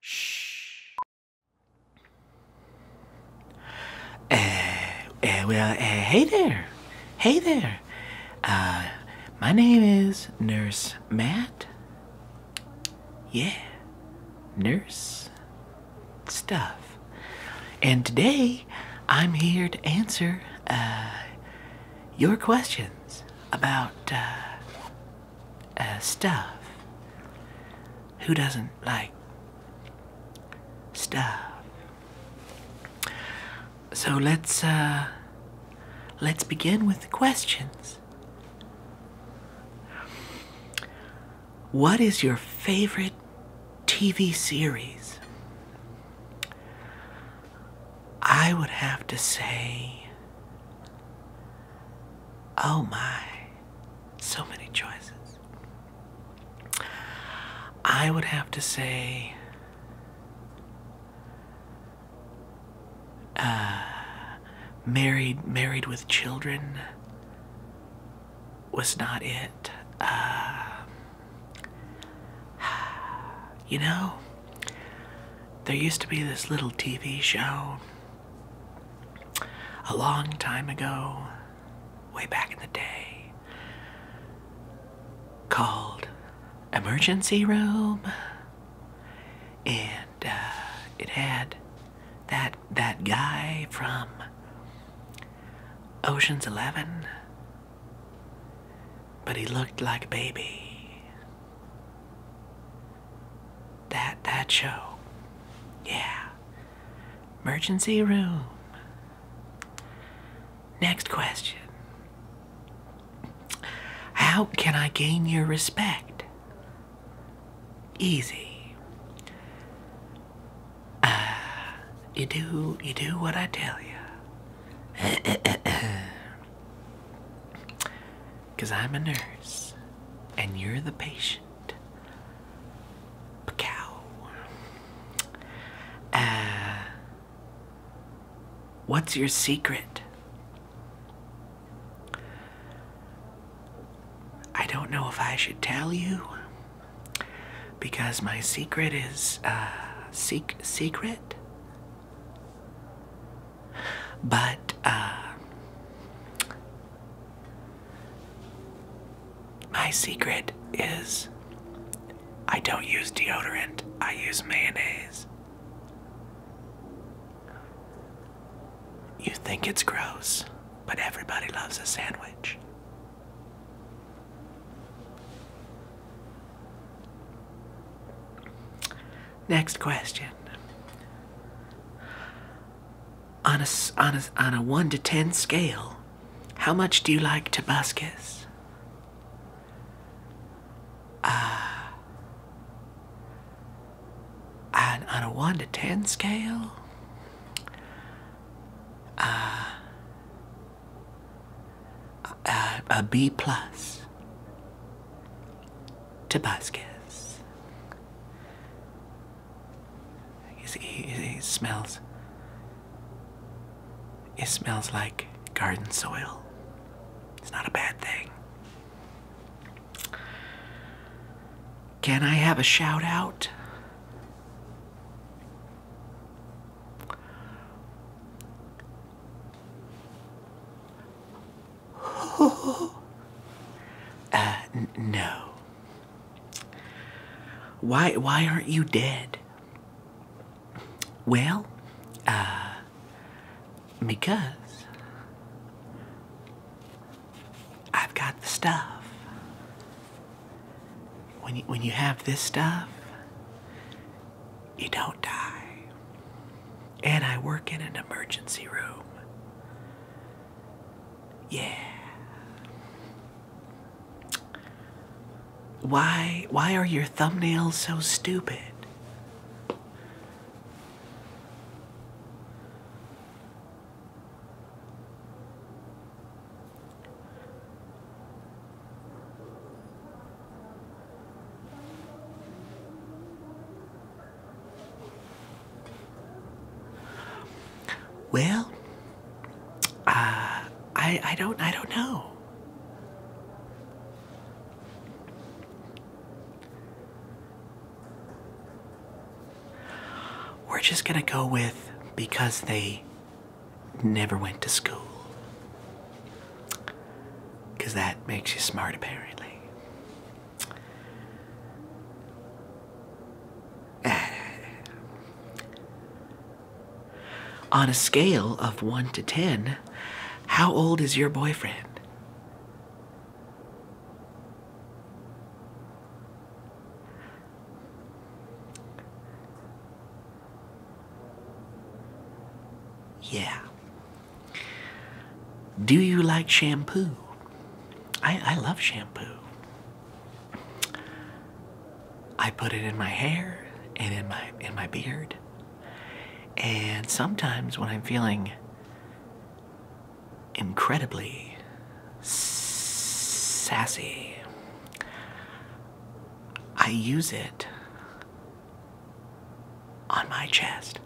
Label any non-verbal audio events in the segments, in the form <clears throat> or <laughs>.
Shh. Uh, uh, well, uh, hey there. Hey there. Uh, my name is Nurse Matt. Yeah, nurse stuff. And today, I'm here to answer uh, your questions about uh, uh, stuff. Who doesn't like stuff? So let's uh, let's begin with the questions. What is your favorite TV series? I would have to say Oh my, so many choices. I would have to say uh, married married with children was not it. Uh, you know, there used to be this little TV show a long time ago, way back in the day, called Emergency Room, and uh, it had that that guy from Ocean's Eleven, but he looked like a baby. That that show. Yeah. Emergency room. Next question. How can I gain your respect? Easy. Uh, you do you do what I tell you. <clears throat> Uh, because I'm a nurse and you're the patient. Pacow. Uh, what's your secret? I don't know if I should tell you because my secret is a uh, secret. But uh, my secret is I don't use deodorant, I use mayonnaise. You think it's gross, but everybody loves a sandwich. Next question. On a, on, a, on a 1 to 10 scale, how much do you like Tabascus? Uh, on, on a 1 to 10 scale? Uh, uh a B plus. Tabasco. It smells. It smells like garden soil. It's not a bad thing. Can I have a shout out? <laughs> Uh, no. Why, why aren't you dead? Well, uh, because I've got the stuff. When when you have this stuff, you don't die. And I work in an emergency room. Yeah. Why why are your thumbnails so stupid? Well, uh, I I don't I don't know. We're just gonna go with because they never went to school. Because that makes you smart, apparently. <sighs> On a scale of 1 to 10, how old is your boyfriend? Yeah. Do you like shampoo? I, love shampoo. I put it in my hair and in my in my beard. And sometimes when I'm feeling incredibly sassy, I use it on my chest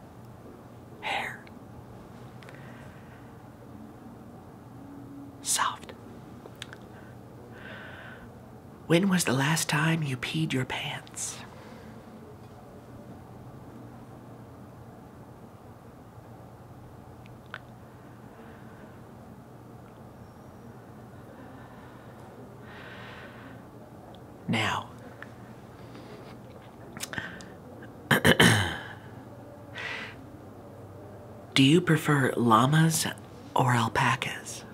hair. Soft. When was the last time you peed your pants? Now, do you prefer llamas or alpacas?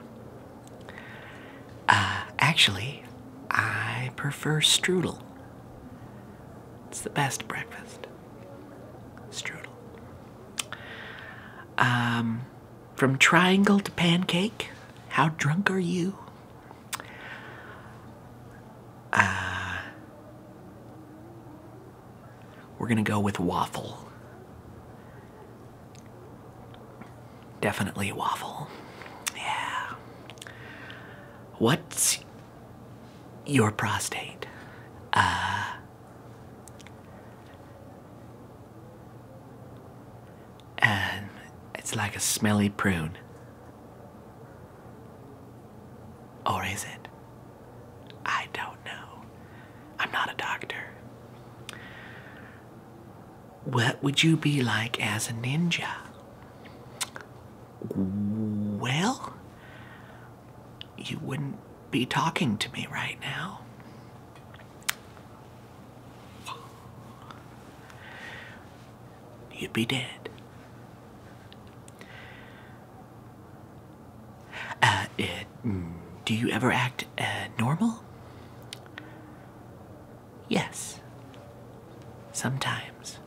Uh, actually, I prefer strudel. It's the best breakfast. Strudel. Um, from triangle to pancake, how drunk are you? Uh, we're going to go with waffle. Definitely waffle. Yeah. What's your prostate? Uh, um, it's like a smelly prune. Or is it? I don't know. I'm not a doctor. What would you be like as a ninja? Well, you wouldn't be talking to me right now you'd be dead. Uh, uh, mm, do you ever act uh, normal? Yes. Sometimes.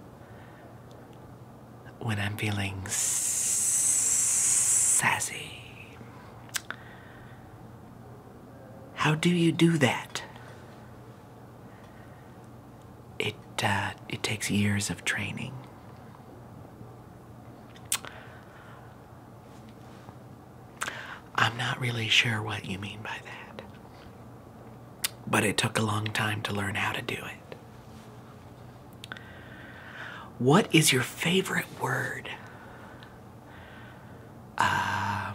When I'm feeling sassy. How do you do that? It uh, it takes years of training. I'm not really sure what you mean by that. But it took a long time to learn how to do it. What is your favorite word? Uh,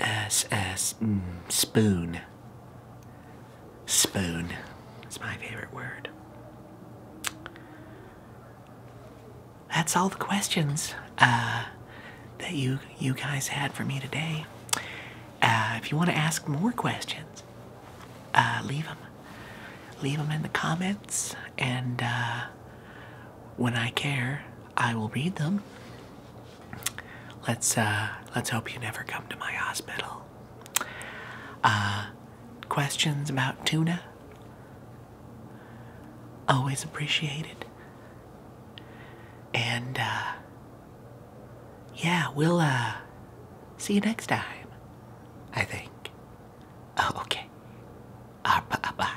S S mm, spoon. Spoon. It's my favorite word. That's all the questions uh, that you you guys had for me today. Uh, if you want to ask more questions, uh, leave them. Leave them in the comments, and uh, when I care, I will read them. Let's uh, let's hope you never come to my hospital. questions about tuna? Always appreciated. And yeah, we'll, uh, see you next time, I think. Oh, okay. Uh, bye-bye. Uh,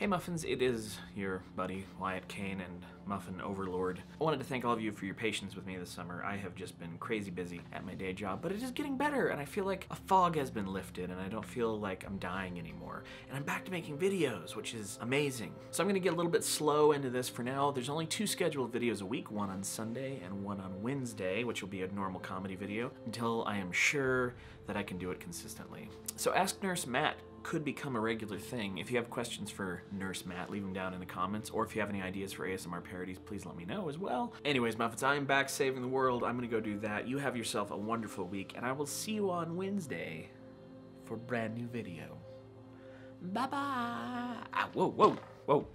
hey Muffins, it is your buddy Wyatt Kane and Muffin Overlord. I wanted to thank all of you for your patience with me this summer. I have just been crazy busy at my day job, but it is getting better and I feel like a fog has been lifted and I don't feel like I'm dying anymore. And I'm back to making videos, which is amazing. So I'm gonna get a little bit slow into this for now. There's only two scheduled videos a week, one on Sunday and one on Wednesday, which will be a normal comedy video, until I am sure that I can do it consistently. So Ask Nurse Matt could become a regular thing. If you have questions for Nurse Matt, leave them down in the comments, or if you have any ideas for ASMR parodies, please let me know as well. Anyways, Muffins, I am back saving the world. I'm gonna go do that. You have yourself a wonderful week, and I will see you on Wednesday for brand new video. Bye bye. Ah, whoa, whoa, whoa.